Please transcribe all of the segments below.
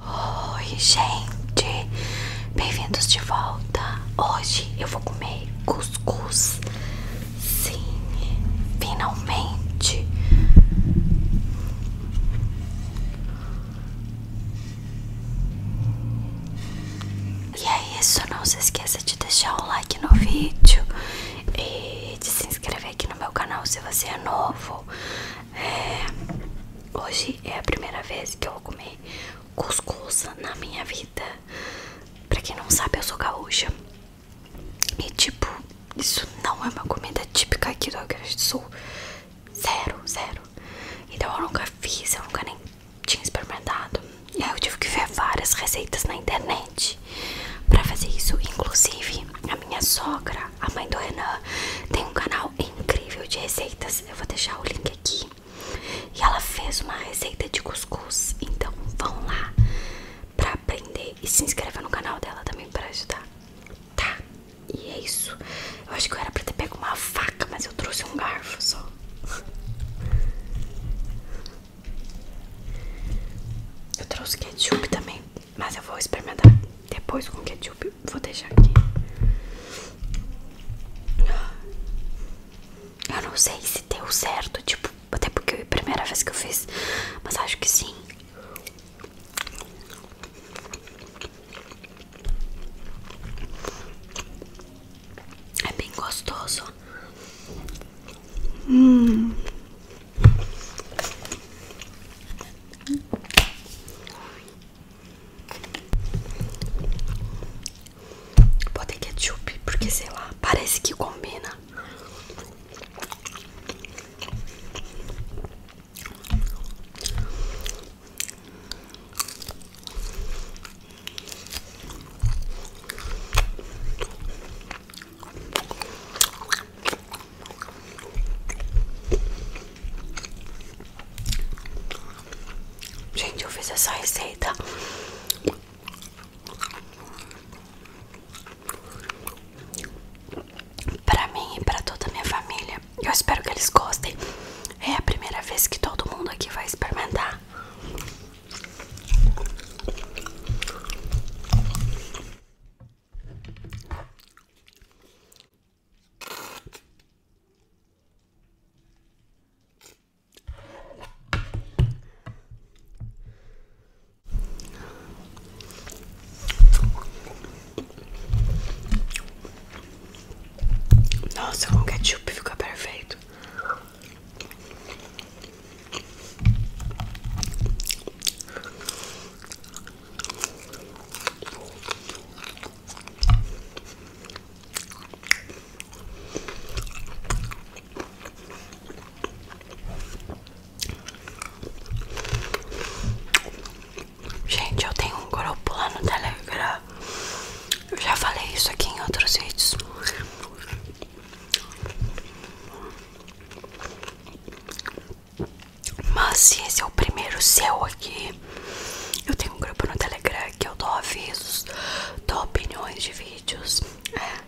Oi gente, bem-vindos de volta. Hoje eu vou comer cuscuz. Sim, finalmente. E é isso, não se esqueça de deixar o like no vídeo e de se inscrever aqui no meu canal se você é novo. É, hoje é a primeira vez que eu vou comer cuscuz na minha vida. Pra quem não sabe, eu sou gaúcha. E tipo, isso não é uma comida típica aqui do Rio do Sul. Zero, zero. Então eu nunca fiz, eu nunca nem tinha experimentado. E aí eu tive que ver várias receitas na internet pra fazer isso. Inclusive, a minha sogra a mãe do Renan tem um canal incrível de receitas. Eu vou deixar o link aqui. E ela fez uma receita de cuscuz. Então vão lá pra aprender e se inscreva no canal dela também pra ajudar. Tá? E é isso. Eu acho que eu era pra ter pego uma faca, mas eu trouxe um garfo só. Eu trouxe ketchup também mas eu vou experimentar depois com ketchup. Vou deixar aqui. Eu não sei se deu certo, tipo, até porque é a primeira vez que eu fiz, mas acho que sim. É bem gostoso. Hum. Pode Botei ketchup, porque sei lá, parece que combina. Gente, eu fiz essa receita pra mim e pra toda a minha família. Eu espero que eles gostem. É a primeira vez que todo mundo aqui vai experimentar. Nossa, com ketchup fica perfeito. Gente, eu tenho um grupo lá no Telegram. Eu já falei isso aqui em outros vídeos. Mas se esse é o primeiro seu aqui, eu tenho um grupo no Telegram que eu dou avisos, dou opiniões de vídeos. É.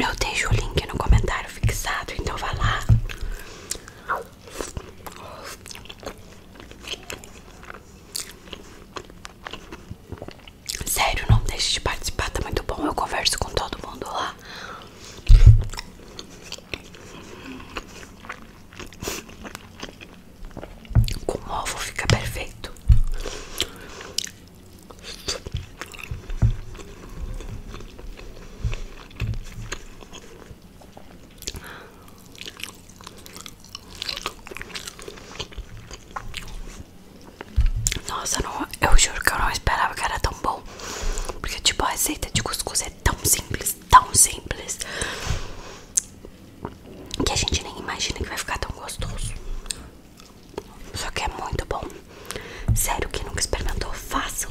Eu deixo o link no comentário fixado, então vá lá. Sério, não deixe de participar, tá muito bom. Eu converso com todo mundo lá. Com ovo fica perfeito. Nossa, não, eu juro que eu não esperava que era tão bom. Porque, tipo, a receita de cuscuz é tão simples, tão simples, que a gente nem imagina que vai ficar tão gostoso. Só que é muito bom. Sério, quem nunca experimentou, façam.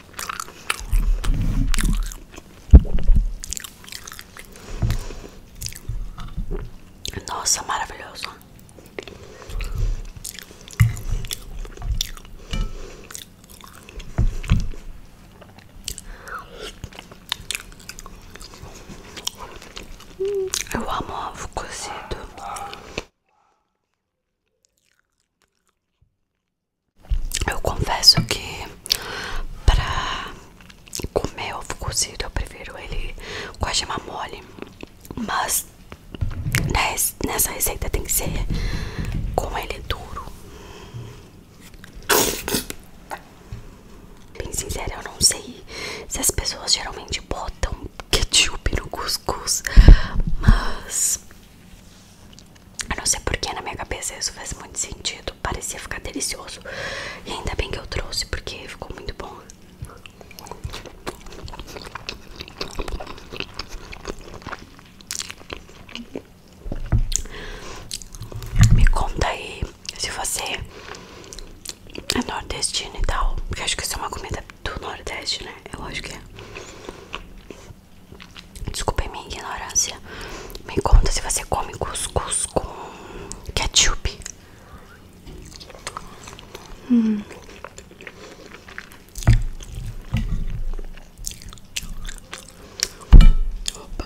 Nossa, maravilhoso. Eu amo ovo cozido. Eu confesso que pra comer ovo cozido eu prefiro ele com a gema mole, mas nessa receita tem que ser com ele duro. Bem sincera, eu não sei se as pessoas geralmente botam ketchup no cuscuz, mas eu não sei porque na minha cabeça isso faz muito sentido. Parecia ficar delicioso. E ainda bem que eu trouxe, porque ficou muito bom. Me conta aí se você é nordestino e tal. Porque acho que isso é uma comida do Nordeste, né? Eu acho que é. Desculpem minha ignorância. Me conta se você come cuscuz com ketchup. Hum. Opa.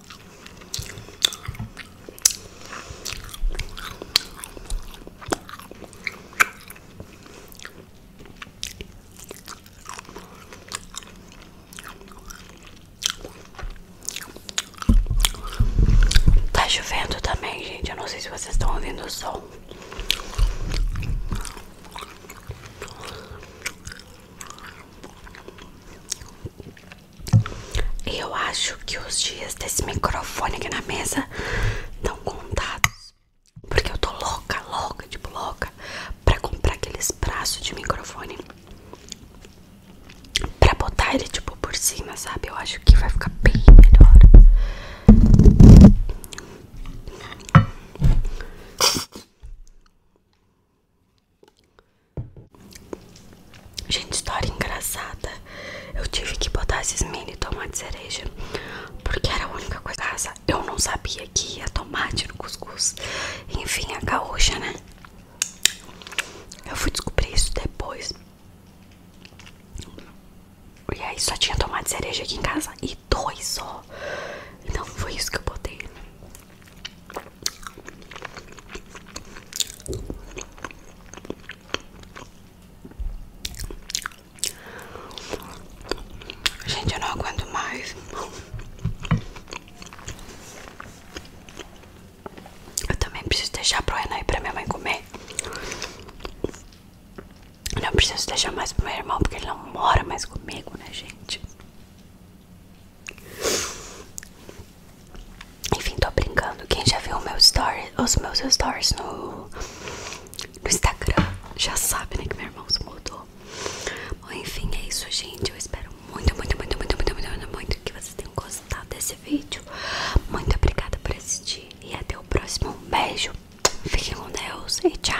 Tá chovendo também, gente. Eu não sei se vocês estão ouvindo o som eu acho que os dias desse microfone aqui na mesa estão contados. Porque eu tô louca, louca, tipo louca, pra comprar aqueles braços de microfone. Pra botar ele tipo por cima, sabe? Eu acho que vai ficar bem melhor. Gente, história engraçada. Eu tive que botar esses mini tomates cereja. Porque era a única coisa. Casa. Eu não sabia que ia tomate no cuscuz. Enfim, a gaúcha, né? Eu fui descobrir isso depois. E aí só tinha tomate cereja aqui em casa. E dois só. Então foi isso que eu botei. Gente, eu não aguento mais. Eu também preciso deixar pro Renan e pra minha mãe comer. não preciso deixar mais pro meu irmão, porque ele não mora mais comigo, né, gente? Enfim, tô brincando. Quem já viu meu story, os meus stories no, no Instagram já sabe, né? Que meu irmão se mudou. enfim, é isso, gente. Eu espero muito, muito, muito, muito, muito, muito, muito que vocês tenham gostado desse vídeo. Muito obrigada por assistir. E até o próximo. Um beijo. Fiquem com Deus e tchau.